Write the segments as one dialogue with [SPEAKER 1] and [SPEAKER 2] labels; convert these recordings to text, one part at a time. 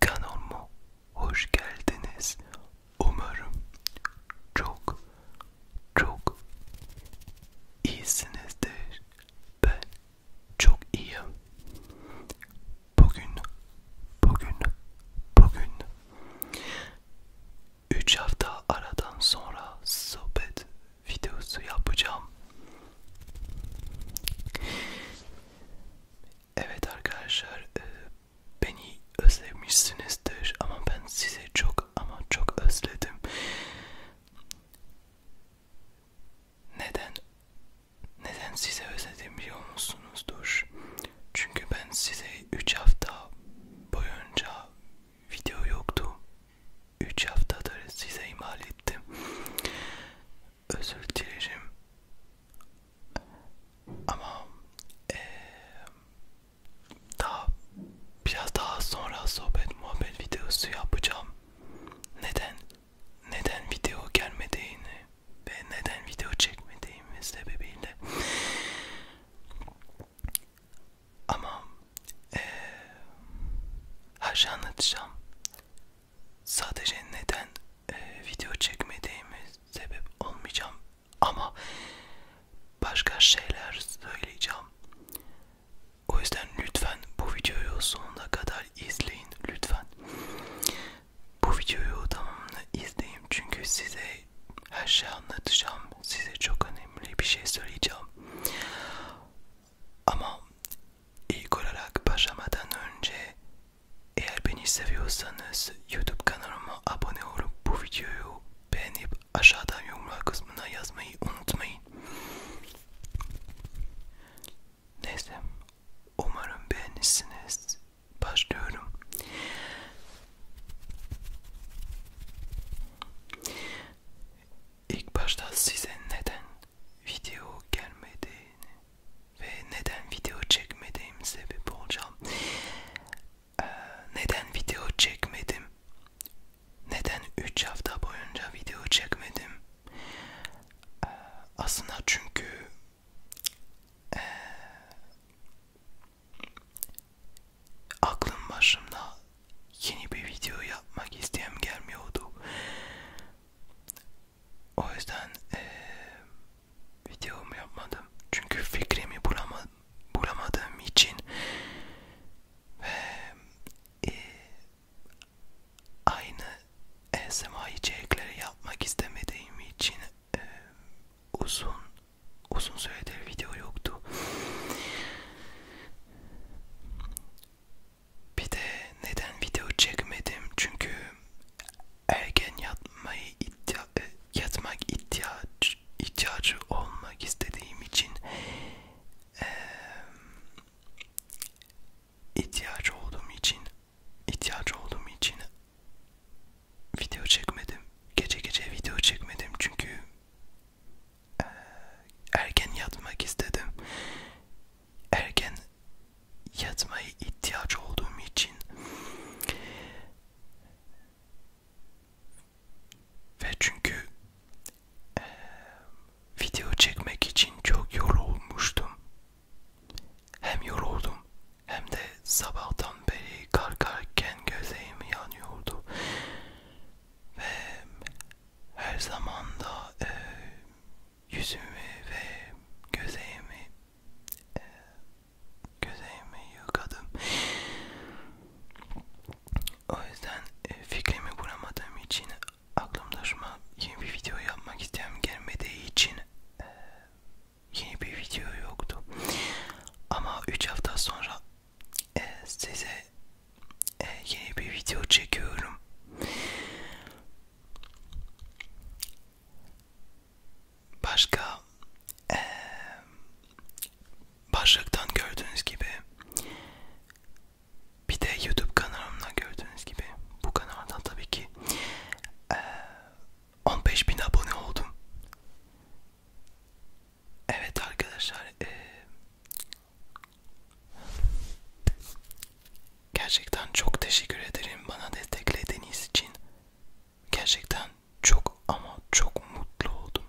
[SPEAKER 1] Kanalıma hoş geldiniz. Umarım çok çok iyisinizdir. Ben çok iyiyim. Bugün, bugün, bugün. Üç hafta aradan sonra sohbet videosu yapacağım. Evet arkadaşlar e, beni özlemişsinizdir ama ben sizi çok ama çok özledim. Neden? Neden size özledim biliyor musunuzdur? Çünkü ben size 3 hafta boyunca video yoktu. 3 haftadır size imal ettim. Özür dilerim. Ama ee, daha biraz daha sonra sohbet muhabbet videosu yapacağım. Neden neden video gelmediğini ve neden video çekmediğimiz sebebiyle. Ama ee, her şey anlatacağım. Sadece neden e, video çekmediğimi sebep olmayacağım ama başka şeyler söyleyeceğim. O yüzden lütfen bu videoyu sonuna kadar izleyin lütfen. Bu videoyu tamamını izleyin çünkü size her şeyi anlatacağım. Size çok önemli bir şey söyleyeceğim. Ama ilk olarak başlamadan önce eğer beni seviyorsanız YouTube kanalıma abone olup bu videoyu beğenip aşağıdan yorumlar kısmına yazmayı unutmayın. Neyse umarım beğenirsiniz. Başlıyorum. İlk başta size neden video gelmediğini ve neden video çekmediğim sebep olacağım. Ee, neden video çekmedim? Neden 3 hafta boyunca video çekmedim? Ee, aslında çünkü e, aklım başımda yeni bir video yapmak isteyem gelmiyordu. O yüzden e, videomu yapmadım. Çünkü fikrimi bulamadım, bulamadığım için ve e, aynı SMA içerikleri yapmak istemediğim için e, uzun uzun süredir video yoktu. Bir de neden video çekmedim? Çünkü erken yatmayı iddia, e, yatmak ihtiyaç, ihtiyacı olmak istediğim için e, ihtiyacı olduğum için ihtiyacı olduğum için video çekmedim. Gece gece video çekmedim çünkü e, erken yatmak istedim. Erken yatmaya ihtiyaç olduğum için ve çünkü e, video çekmek için çok yorulmuştum. Hem yoruldum hem de sabahtan beri kalkarken gözlerim yanıyordu. Ve her zaman da e, yüzümü ve gözlerimi e, gözeğimi yıkadım. O yüzden e, fikrimi kuramadığım için aklımda şu an yeni bir video yapmak isteyen gelmediği için e, yeni bir video yoktu. Ama 3 hafta sonra e, size e, yeni bir video çekiyorum başka ee, başlıktan gördüğünüz gibi bir de YouTube kanalımda gördüğünüz gibi bu kanalda tabii ki ee, 15 bin abone oldum. Evet arkadaşlar ee, gerçekten çok teşekkür ederim bana desteklediğiniz için gerçekten çok ama çok mutlu oldum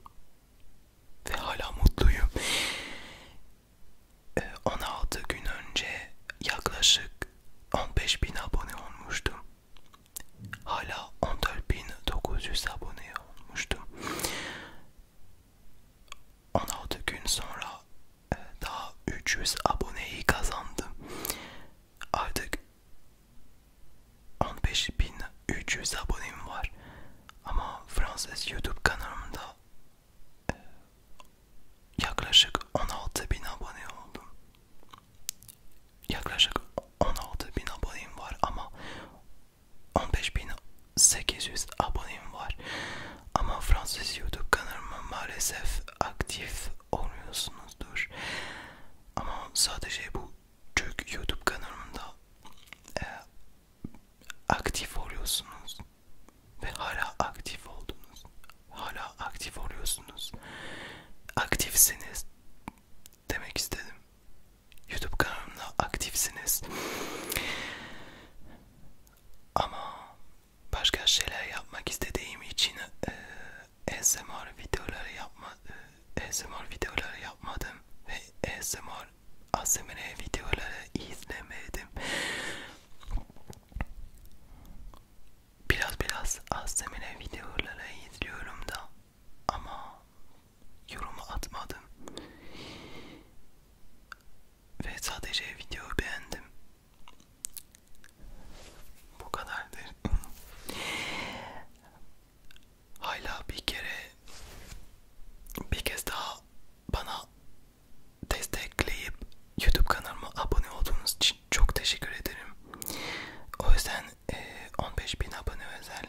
[SPEAKER 1] ve hala mutluyum. 16 ee, gün önce yaklaşık 15 bin abone olmuştum. Hala 14.900 abone olmuştum. 16 gün sonra e, daha 300 aboneyi kazandım artık 15.300 abonem var ama Fransız YouTube kanalımda e, yaklaşık 16.000 abone oldum. Yaklaşık 16.000 abonem var ama 15.800 abonem var ama Fransız YouTube kanalıma maalesef aktif oluyorsunuzdur. Ama sadece bu Türk YouTube kanalımda e, aktif oluyorsunuz ve hala aktif oldunuz. Hala aktif oluyorsunuz. Aktifsiniz demek istedim. YouTube kanalımda aktifsiniz. Ama başka şeyler yapmak istediğim için e, ASMR videoları yapma e, ASMR videoları yapmadım ve ASMR ASMR videoları izlemedim. Biraz biraz ASMR videoları izliyorum da ama yorumu atmadım. Ve sadece video beğendim. Bu kadar derin. Hala bir kere bir kez daha bana destekleyip YouTube kanalıma abone olduğunuz için çok teşekkür ederim. O yüzden e, 15.000 abone özel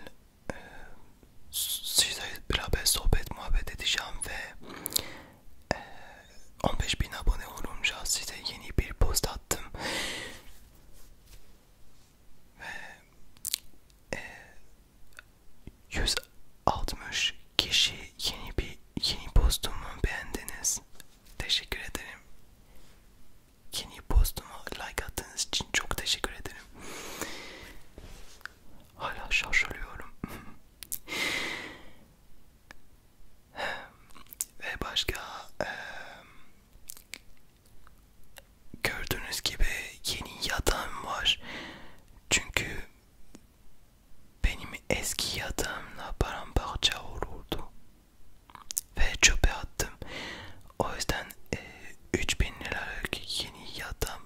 [SPEAKER 1] e, size beraber sohbet muhabbet edeceğim ve e, 15.000 abone olunca size yeni bir post attım e, 160 kişi yeni bir yeni postumu beğendiniz. Teşekkür ederim. Yeni postuma like attığınız için çok teşekkür ederim. Hala şaşırıyorum. Ve başka e, Gördüğünüz gibi yeni yatağım var. Çünkü benim eski yatağımla paramparça olurdu. Ve çöpe attım. O yüzden e, 3000 liralık yeni yatağım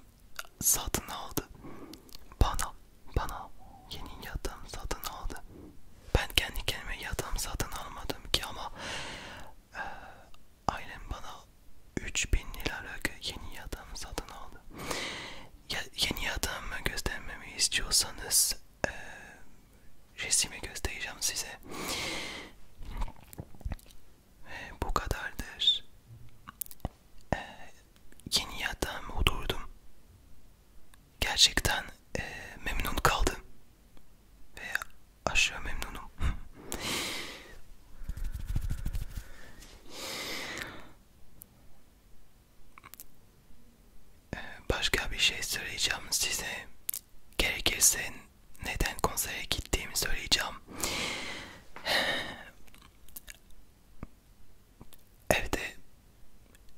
[SPEAKER 1] satın aldı. Bana, bana yeni yatağım satın aldı. Ben kendi kendime yatağım satın almadım ki ama e, ailem bana 3000 liralık yeni yatağımı satın aldı. Ya, yeni yatağımı göstermemi istiyorsanız e, resimi göstereceğim size. E, bu kadardır. E, yeni yatağımı oturdum. Gerçekten e, memnun kaldım ve aşırı memnunum. Ee, başka bir şey söyleyeceğim size. Gerekirse neden konsere gittiğimi söyleyeceğim. Evde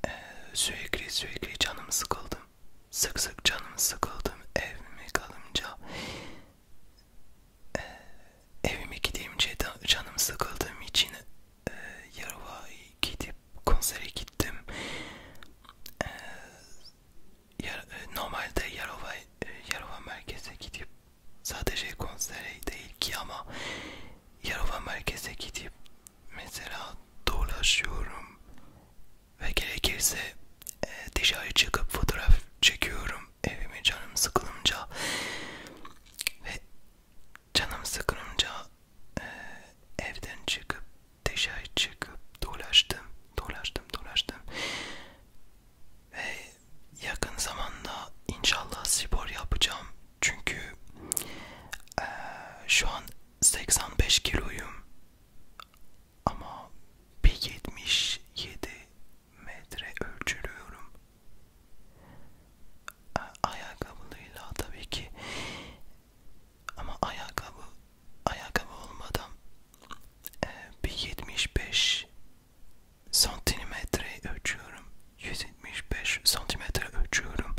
[SPEAKER 1] e, sürekli sürekli canım sıkıldı sık sık canım sıkıldım evime kalınca e, evime gidince canım sıkıldığım için e, Yarova'ya gidip konsere gittim e, yar, e, normalde Yarova, e, Yarova merkeze gidip sadece konsere değil ki ama Yarova merkeze gidip mesela dolaşıyorum ve gerekirse e, dışarı çıkıp fotoğraf çekiyorum evime canım sıkılınca ve canım sıkılınca e, evden çıkıp dışarı çıkıp dolaştım dolaştım dolaştım ve yakın zamanda inşallah spor yapacağım çünkü e, şu an 85 kiloyum ama bir 77 metre ölçülüyorum. Ayakkabılıyla tabii ki. Ama ayakkabı ayakkabı olmadan e, bir 75 santimetre ölçüyorum. 175 santimetre ölçüyorum.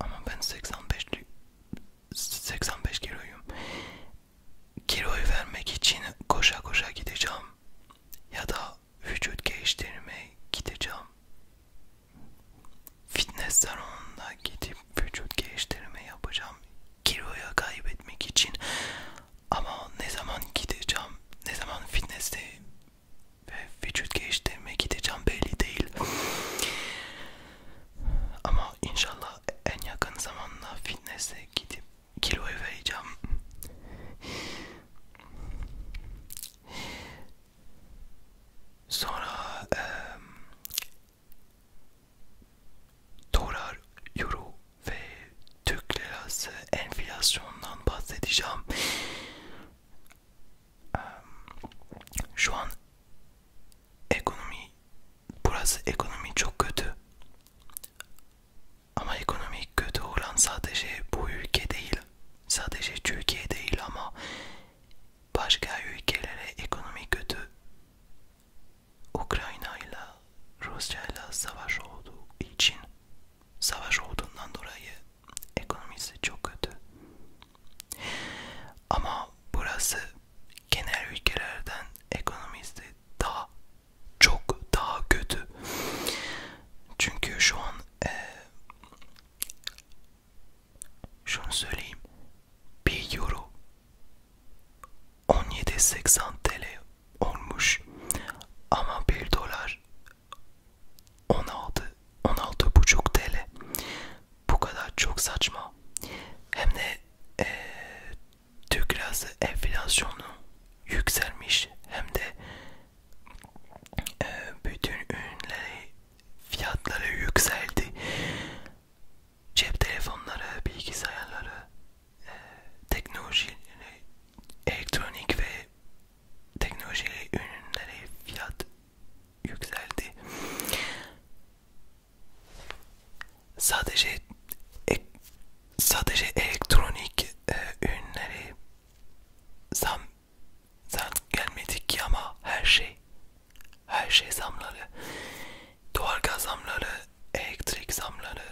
[SPEAKER 1] Ama ben 85 85 kiloyum. Kiloyu vermek için koşa koşa gideceğim. Ya da vücut geliştirmeye gideceğim. Fitness salonuna gidip vücut geliştirme yapacağım. Kiloya kaybetmek için. Ama ne zaman gideceğim? Ne zaman fitness'e ve vücut geliştirmeye gideceğim belli değil. Ama inşallah en yakın zamanda fitness'e gidip kiloyu vereceğim. Sonra e, dolar, euro ve Türk lirası enflasyondan bahsedeceğim. Şu an ekonomi burası ekonomi çok kötü ama ekonomi kötü olan sadece bu ülke değil sadece Türkiye değil ama başka ülkelere ekonomi kötü Ukrayna ile Rusya ile savaş olduğu için savaş olduğundan dolayı ekonomisi çok kötü ama burası genel ülkelerden ekonomisi daha çok daha kötü. Çünkü şu an e, şunu söyleyeyim. 1 euro 17.80 TL olmuş ama 1 dolar 16 16.5 TL bu kadar çok saçma hem de e, Türk lirası enflasyonu yükselmiş hem de e, bütün ürünleri fiyatları yükseldi cep telefonları bilgisayarları e, teknoloji elektronik ve teknoloji ürünleri fiyat yükseldi Sadece ek, sadece elektronik e, ürünleri zam zam gelmedi ki ama her şey her şey zamları doğalgaz zamları elektrik zamları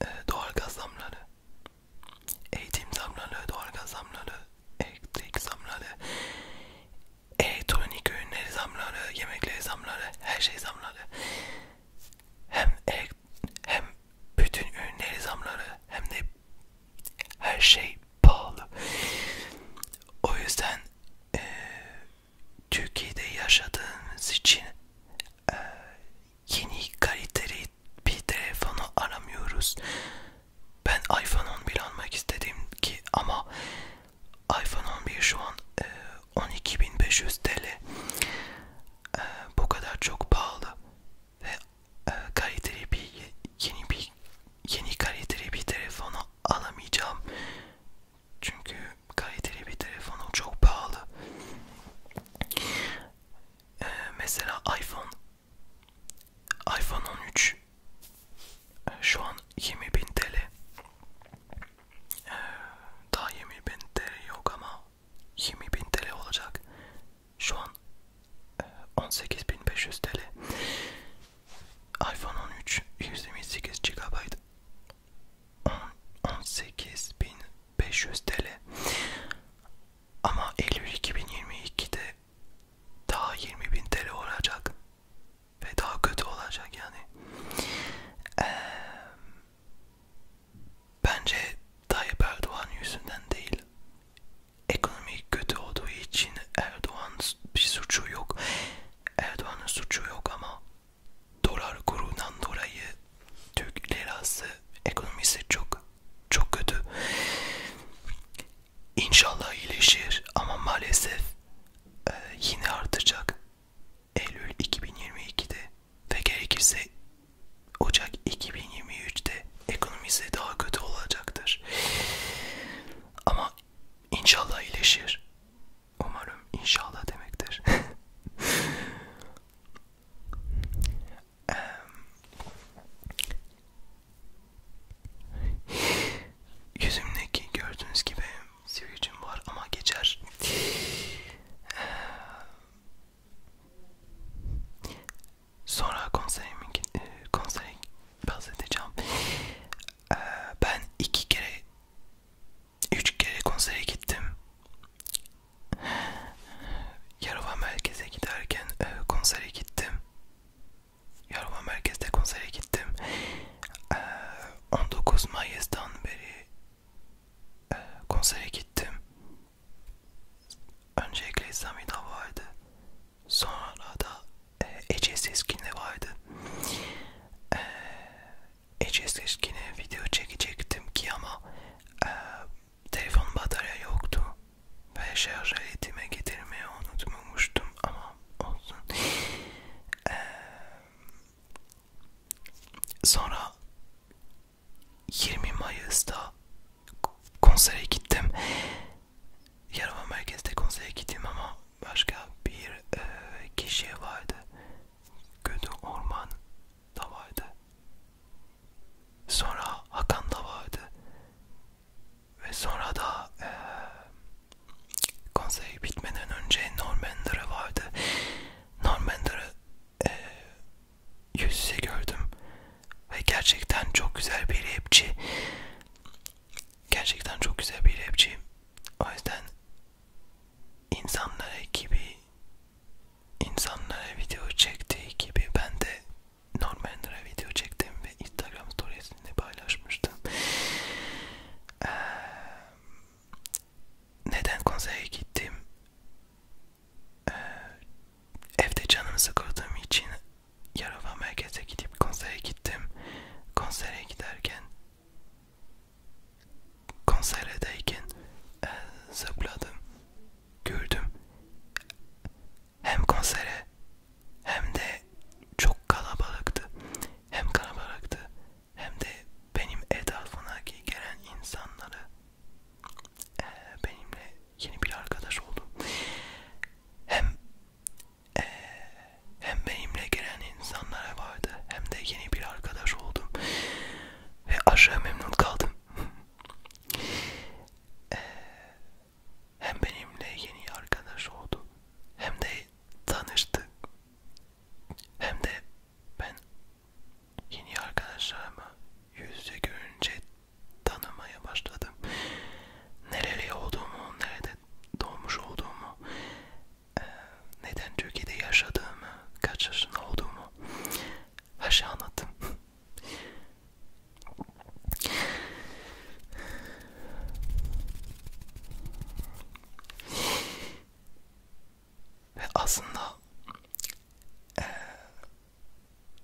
[SPEAKER 1] e, doğalgaz zamları eğitim zamları doğalgaz zamları elektrik zamları elektronik ürünleri zamları, yemekleri zamları, her şey zamları. Hem elek, hem bütün ürünleri zamları hem de her şey pahalı. O yüzden e, Türkiye'de yaşadığımız için e, yeni kaliteli bir telefonu aramıyoruz. Ben iPhone 11 almak istedim ki ama iPhone 11 şu an e, 12.500 TL e, bu kadar çok pahalı ve e, kaliteli bir yeni bir yeni kaliteli bir telefonu alamayacağım çünkü kaliteli bir telefonu çok pahalı e, mesela iPhone iPhone 13 e, şu an 20.000 TL ee, daha 20.000 TL yok ama 20.000 TL olacak. Şu an 18.500 e, TL. iPhone 13 128 GB 18.500 TL. Ama Eylül 2022'de daha 20.000 TL olacak ve daha kötü olacak yani. Ee, bence Tayyip Erdoğan yüzünden değil. Ekonomi kötü olduğu için Erdoğan bir suçu yok. Erdoğan'ın suçu yok ama dolar kurundan dolayı Türk lirası ekonomisi çok çok kötü. İnşallah iyileşir ama maalesef e, yine artacak. Eylül 2022'de ve gerekirse Ocak 2023'te ekonomisi daha kötü olacaktır. Ama inşallah iyileşir. Umarım inşallah demektir. Yüzümdeki gördüğünüz gibi sivilcim var ama geçer. Sonra konserimin e, konseri bahsedeceğim. E, ben iki kere, üç kere konsere gittim. Yarova merkeze giderken e, konsere gittim. Yarova merkezde konsere gittim. 19 Mayıs'tan beri e, konsere gittim. Öncelikle Samida vardı. Sonra da e, Ece Seskin'le vardı. E, Ece Seskin'e video çekecektim ki ama e, telefon batarya yoktu. Ve şarj aletime getirmeyi unutmamıştım ama olsun. E, Sonra 20 Mayıs'ta konsere gittim. Yarama merkezde konsere gittim ama başka bir e, kişi vardı. Kötü Orman da vardı. Sonra Hakan da vardı. Ve sonra da e, Konsey bitmeden önce Normander'ı vardı. Normander'ı e, yüz yüze gördüm. Ve gerçekten çok güzel bir rapçi. Gerçekten çok güzel bir rapçi. O yüzden insanlara gibi insanlara video çektiği gibi ben de Normander'a video çektim ve Instagram storiesinde paylaşmıştım. Ee, neden konsere gittim? Ee, evde canımı sıkıldığım için Yarova merkeze gidip konsere gittim. Konsere giderken konserdeyken e, zıpladım. Gördüm. Hem konsere hem de çok kalabalıktı. Hem kalabalıktı hem de benim etrafımdaki gelen insanları e, benimle yeni bir arkadaş oldu. Hem e, hem benimle gelen insanlara vardı hem de yeni bir arkadaş oldum ve aşağı memnun kaldım. e, hem benimle yeni arkadaş oldu hem de tanıştık hem de ben yeni arkadaşlarımı yüzde görünce tanımaya başladım. Nereli olduğumu, nerede doğmuş olduğumu, e, neden Türkiye'de yaşadığımı, kaç yaşında olduğumu her şeyi anlattım. Ve aslında e,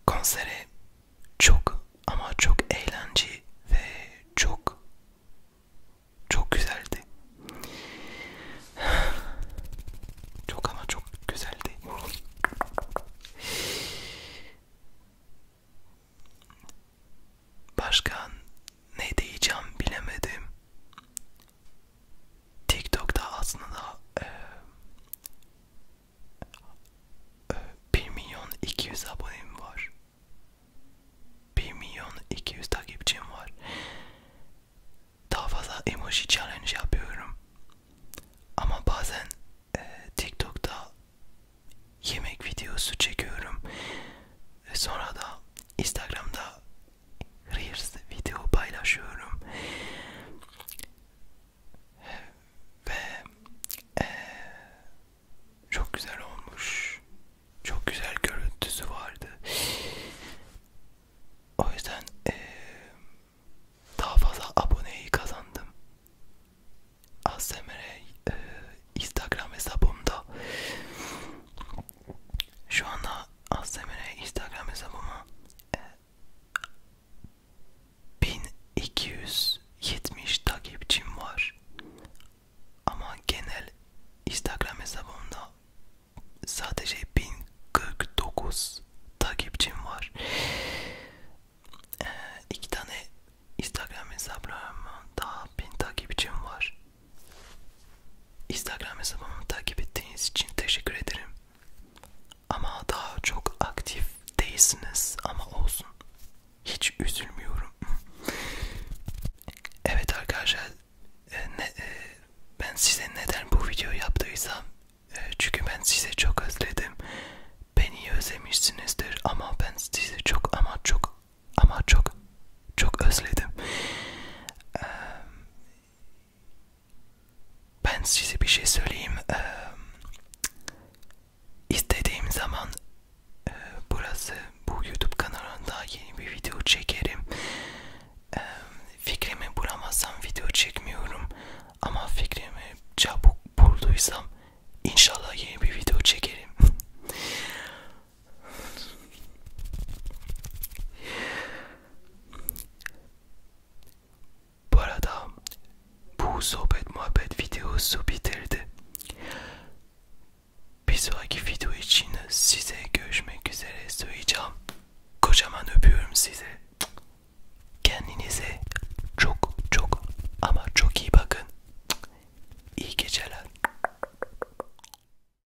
[SPEAKER 1] konseri çok ama çok eğlenceli ve çok çok güzeldi. Çok ama çok güzeldi. Başkan ne diyeceğim bilemedim. TikTok'ta aslında e, e, 1 milyon 200 abonem var. 1 milyon 200 takipçim var. Daha fazla emoji challenge yapıyorum. Ama bazen e, TikTok'ta yemek videosu çekiyorum. Sonra da Instagram'da Reels video paylaşıyorum ve e, çok güzel olmuş, çok güzel görüntüsü vardı. O yüzden e, daha fazla aboneyi kazandım. ASMR'e Instagram hesabımda şu anda Aslemir'e Instagram hesabıma e, 1270 takipçim var. Ama genel Instagram hesabımda sadece 1049 takipçim var. E, iki tane Instagram hesaplarımda daha 1000 takipçim var. Instagram hesabımı takip ettiğiniz için teşekkür ederim. Ama daha çok aktif değilsiniz ama olsun. Hiç üzülmüyorum. evet arkadaşlar e, ne, e, ben size neden bu videoyu yaptıysam e, çünkü ben size çok özledim. Beni özlemişsinizdir ama ben size çok ama çok ama çok çok özledim. Ee, ben size bir şey söyleyeyim. Ee, istediğim zaman e, burası bu YouTube kanalında yeni bir video çekerim. Ee, fikrimi bulamazsam video çekmiyorum. Ama fikrimi çabuk bulduysam inşallah yeni bir video çekerim. Bu arada bu sohbet muhabbet videosu bitirdi. Bir sonraki video için size görüşmek üzere söyleyeceğim. Kocaman öpüyorum sizi. Kendinize çok çok ama çok iyi bakın. İyi geceler.